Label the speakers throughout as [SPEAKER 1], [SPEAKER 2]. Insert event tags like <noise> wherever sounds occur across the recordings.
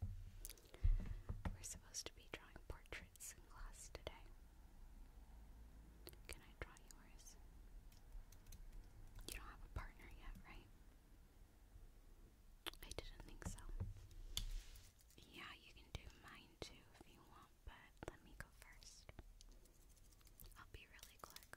[SPEAKER 1] We're supposed to be drawing portraits in class today. Can I draw yours? You don't have a partner yet, right? I didn't think so. Yeah, you can do mine too if you want, but let me go first. I'll be really quick.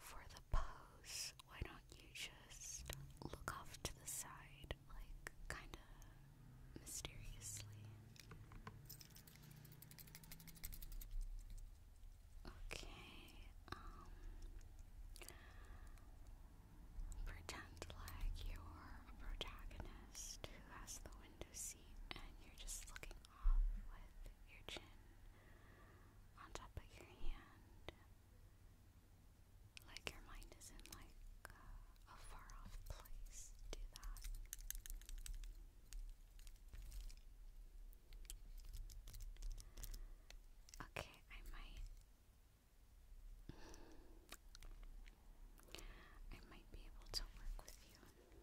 [SPEAKER 1] for the pose, why don't you just look off to the side, like kind of mysteriously? Okay, um, pretend like you're a protagonist who has the window seat and you're just looking off with your chin on top of your hand, like your mind is in like a far off place. Do that. Okay, I might. I might be able to work with you.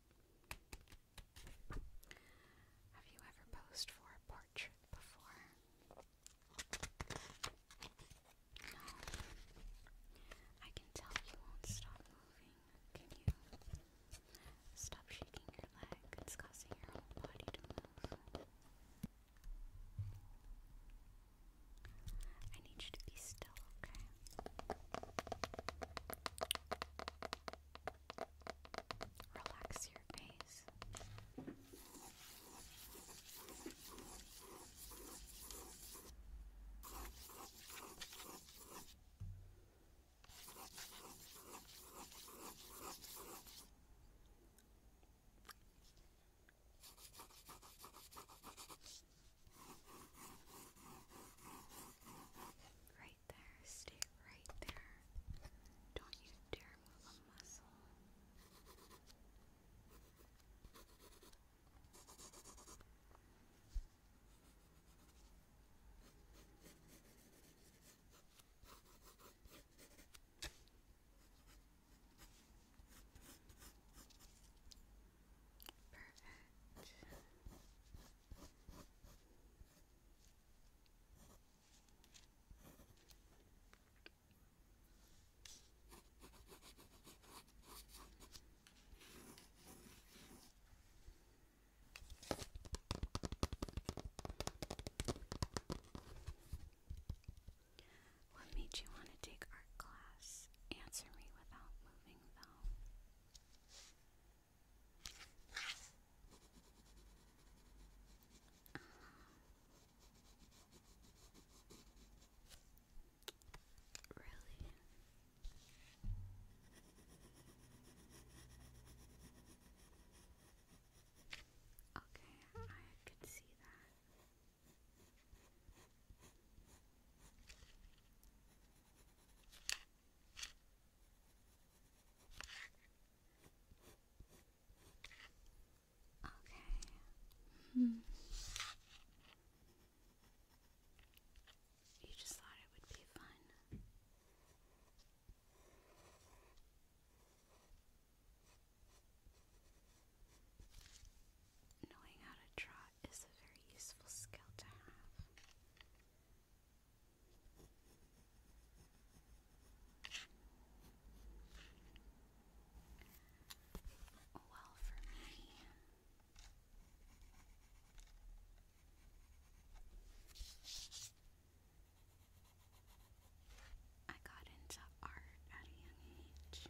[SPEAKER 1] Have you ever posed for a portrait before? No. I can tell you won't stop moving. Can you? Stop shaking your leg. It's causing your whole body to move. I need you to be still still, okay? Relax your face. Right there, stay right there. Don't you dare move a muscle. Perfect. What made you want to take art class? Answer me without moving, though. Really? Okay, I could see that. Okay. Hmm. You just thought it would be fun. Knowing how to try is a very useful skill to have. Well, for me, I got into art at a young age.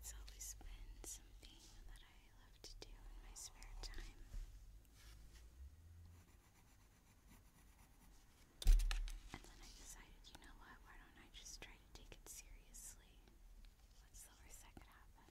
[SPEAKER 1] It's always been something that I love to do in my spare time. And then I decided, you know what, why don't I just try to take it seriously? What's the worst that could happen?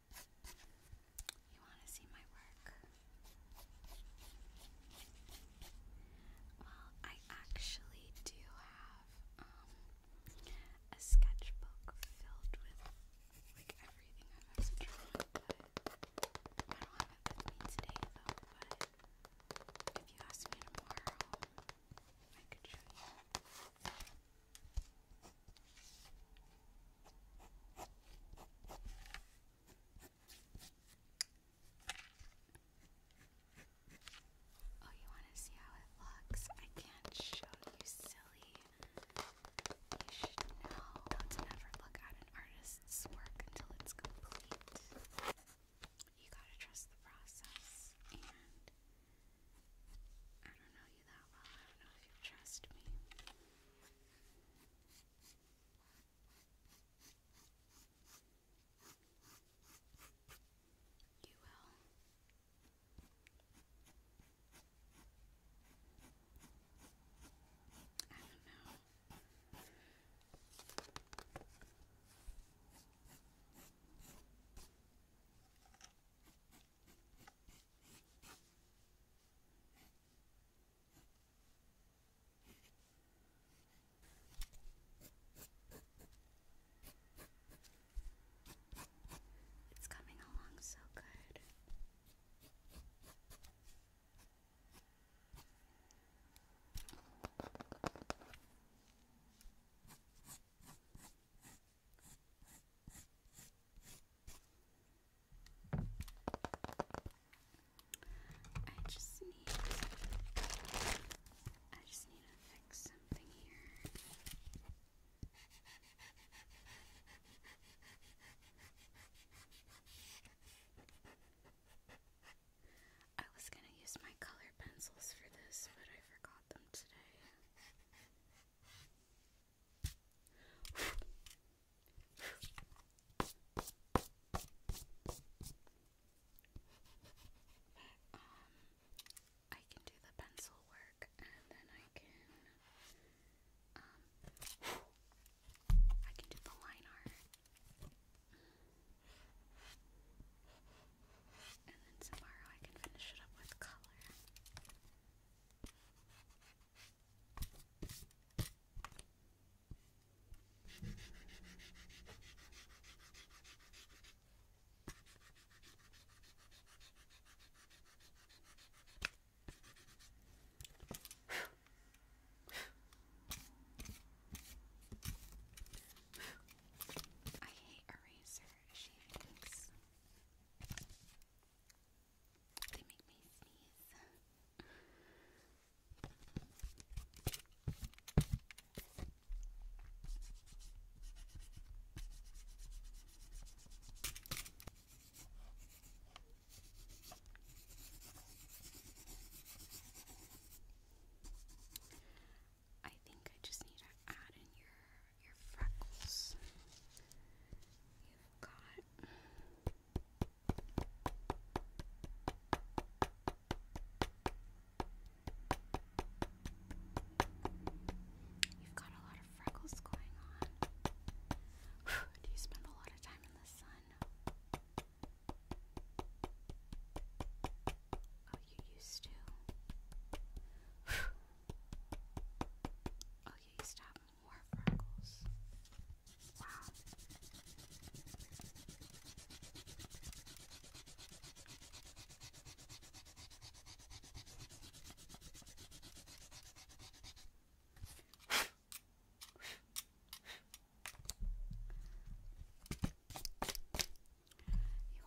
[SPEAKER 1] You want to see my work? Well, I actually do have um, a sketchbook filled with like everything I've ever drawn, I don't have it with me today though. But if you ask me tomorrow, I could show you. Oh, you want to see how it looks? I can't show you, silly. You should know. Don't ever look at an artist's work until it's complete. You gotta trust the process. And I don't know you that well. I don't know if you trust me. You will. I don't know. I it's coming along so good. I just need I just need to fix something here. I was going to use my color pencils for this, but I forgot them today um, I can do the pencil work and then I can um I can do the line art and then tomorrow I can finish it up with color. I hate eraser she thinks. They I think I just need to add in your your freckles. You've got You've got a lot of freckles going on. <sighs> do you spend a lot of time in the sun? Oh, you used to. <sighs> Oh, you used to more freckles. Wow. You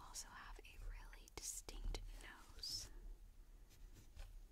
[SPEAKER 1] also have a really distinct nose.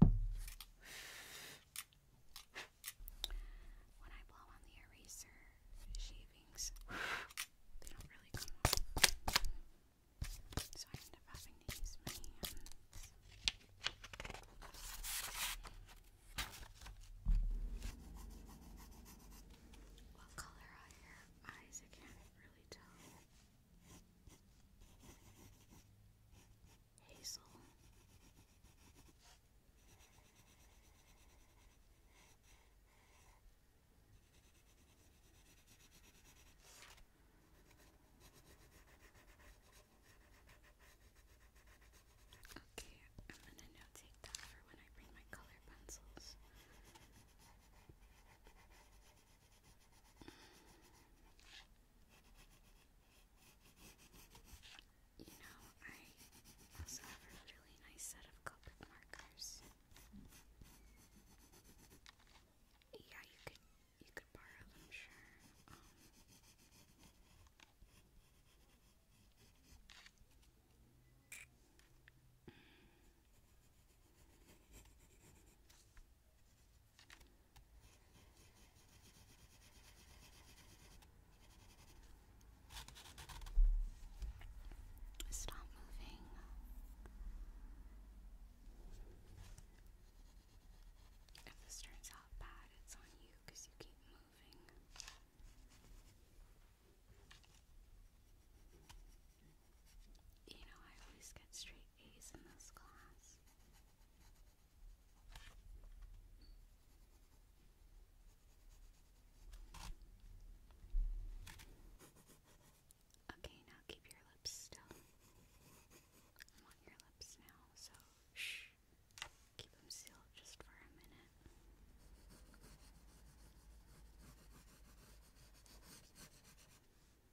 [SPEAKER 1] When I blow on the eraser shavings, they don't really come off. So I end up having to use What color are your eyes? I can't really tell. Hazel. Okay, I'm going to notate that for when I bring my color pencils. You know, I also have a really nice set of Copic markers. Yeah, you could you could borrow them, sure. Um, Stop moving. If this turns out bad, it's on you because you keep moving. You know, I always get straight A's in this class. Okay, now keep your lips still. I want your lips now, so shh. Keep them sealed just for a minute.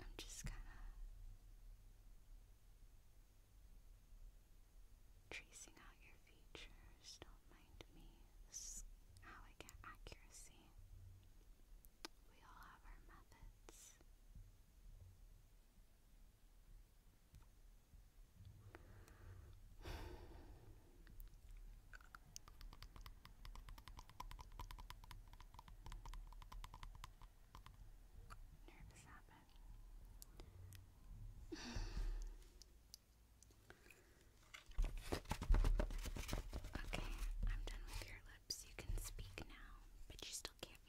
[SPEAKER 1] I'm just kind of tracing out your features. Don't mind me. how I get accuracy. We all have our methods. Nervous okay, I'm done with your lips. You can speak now, but you still can't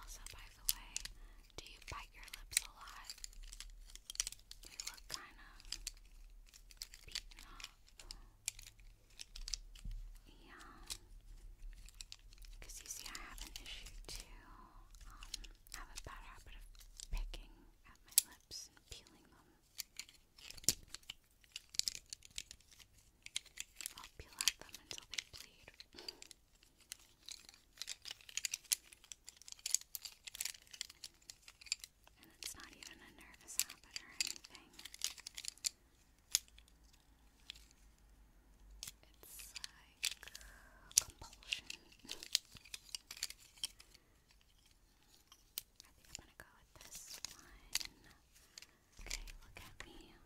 [SPEAKER 1] also, by the way, do you bite your lips a lot? You look kind of beaten up. Yeah. Because you see, I have an issue too. Um, I have a bad habit of picking at my lips and peeling them. I'll peel at them until they bleed. And it's not even a nervous habit or anything. It's like compulsion. I think I'm gonna go with this one. Okay, look at me.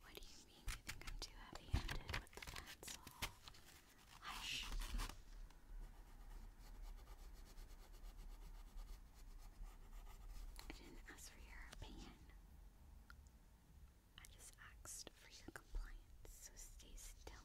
[SPEAKER 1] What do you mean you think I'm too heavy handed with the pencil? Hush. I didn't ask for your opinion. I just asked for your compliance, so stay still.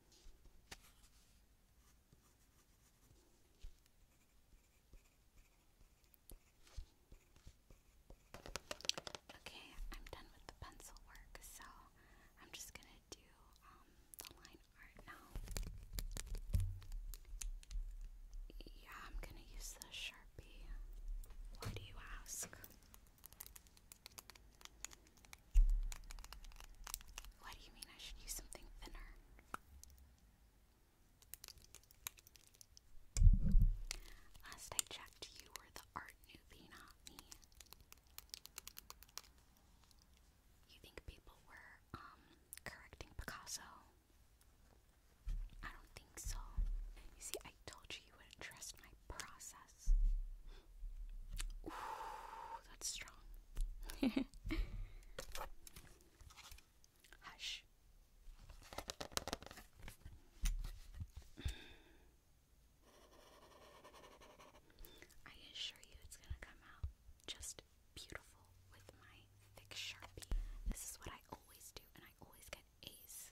[SPEAKER 1] Okay, I'm done with the pencil work, so I'm just gonna do um, the line art now. Yeah, I'm gonna use the Sharpie. Why do you ask? What do you mean I should use something thinner? Last I checked, you were the art newbie, You think people were, um, correcting Picasso? I don't think so. You see, I told you you wouldn't trust my process that's strong. <laughs> Hush. I assure you it's gonna come out just beautiful with my thick sharpie. This is what I always do, and I always get A's.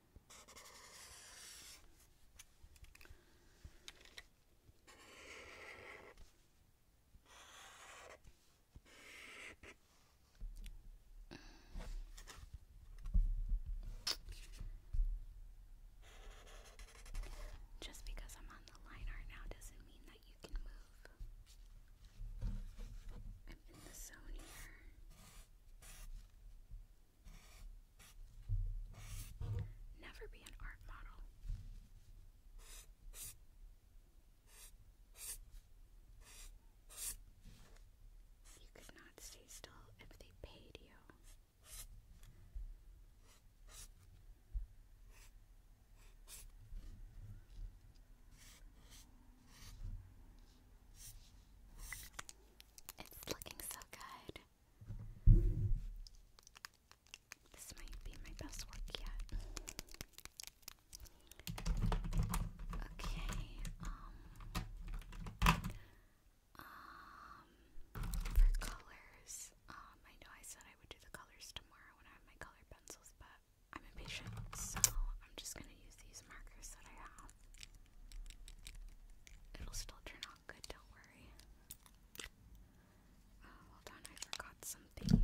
[SPEAKER 1] Just because I'm on the line right now doesn't mean that you can move. I'm in the zone here. Never be an art model. You could not stay still if they paid you. It's looking so good. This might be my best work yet. Okay, um, um, for colors, um, I know I said I would do the colors tomorrow when I have my color pencils, but I'm impatient, so I'm just gonna use these markers that I have. It'll still turn off all good, don't worry. Oh, hold on, I forgot something.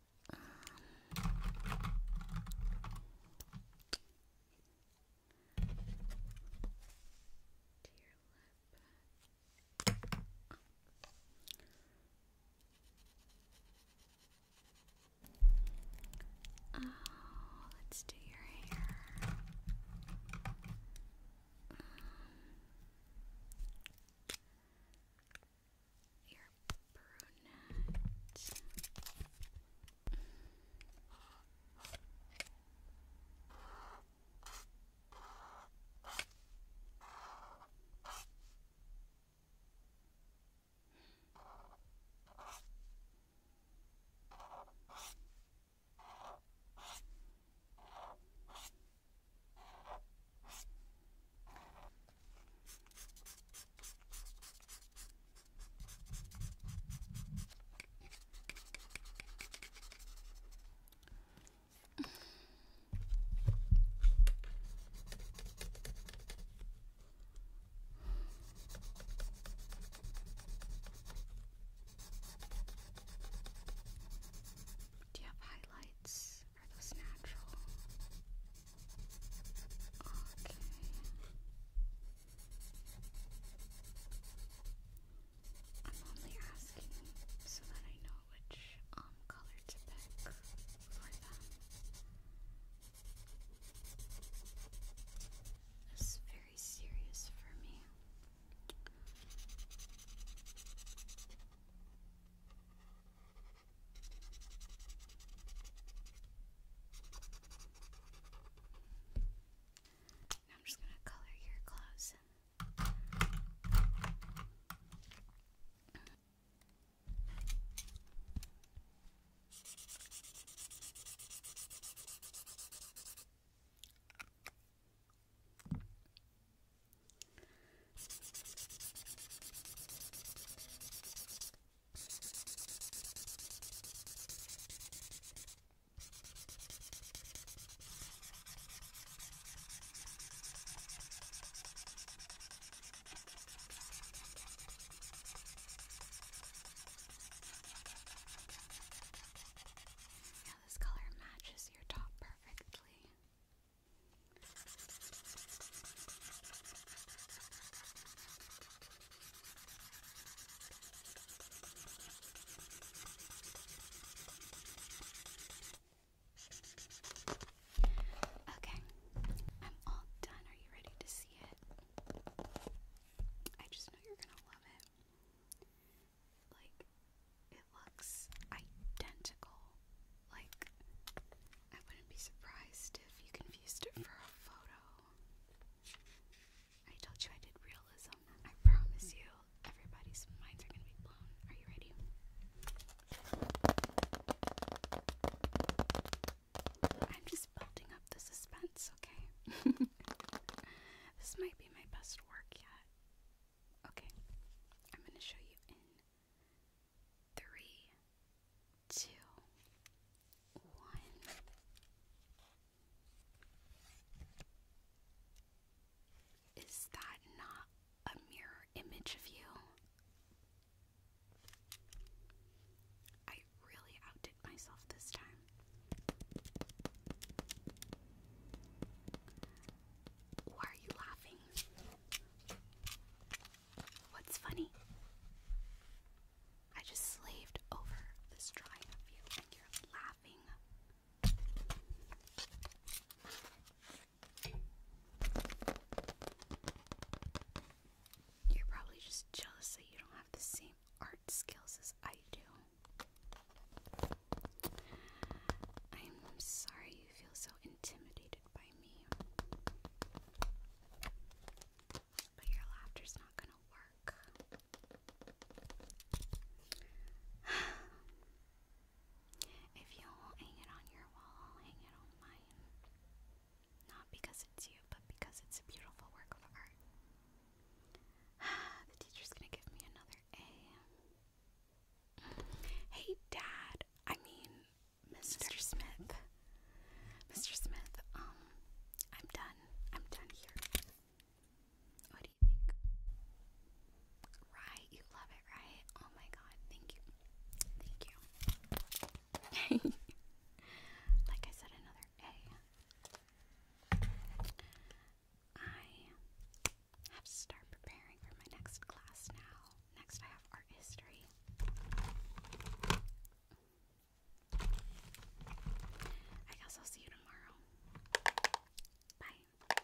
[SPEAKER 1] Um, to Oh, let's do your hair. Um, you brunette. Do you have highlights? Are those natural? Okay. I'm only asking so that I know which um color to pick for them. This very serious for me. Now I'm just going to color your clothes. Now, this color matches your top perfectly. Okay, I'm all done. Are you ready to see it? I just know you're gonna love it. Like, it looks identical. Like, I wouldn't be surprised if you confused it for a photo. I told you I did realism. I promise you, everybody's minds are gonna be blown. Are you ready? I'm just building up the suspense, okay? <laughs> this might be my best work yet. Okay, I'm gonna show you in three, two, one. Is that not a mirror image of you? I really outdid myself this time. Why are you laughing? What's funny? I just slaved over this drawing of you and you're laughing. You're probably just jealous that you don't have the same art skills as I do. I'm sorry you feel so intimidated by me? But your laughter's not gonna work. <sighs> if you hang it on your wall, hang it on mine. Not because it's you, but because it's a beautiful work of art. <sighs> the teacher's gonna give me another A. Hey, Dad. I mean, Mr. Smith. Mr. Smith, um, I'm done. I'm done here. What do you think? Right? You love it, right? Oh my god, thank you. Thank you. <laughs> like I said, another A. I I have to start preparing for my next class now. Next, I have art history. I guess I'll see you tomorrow. Bye.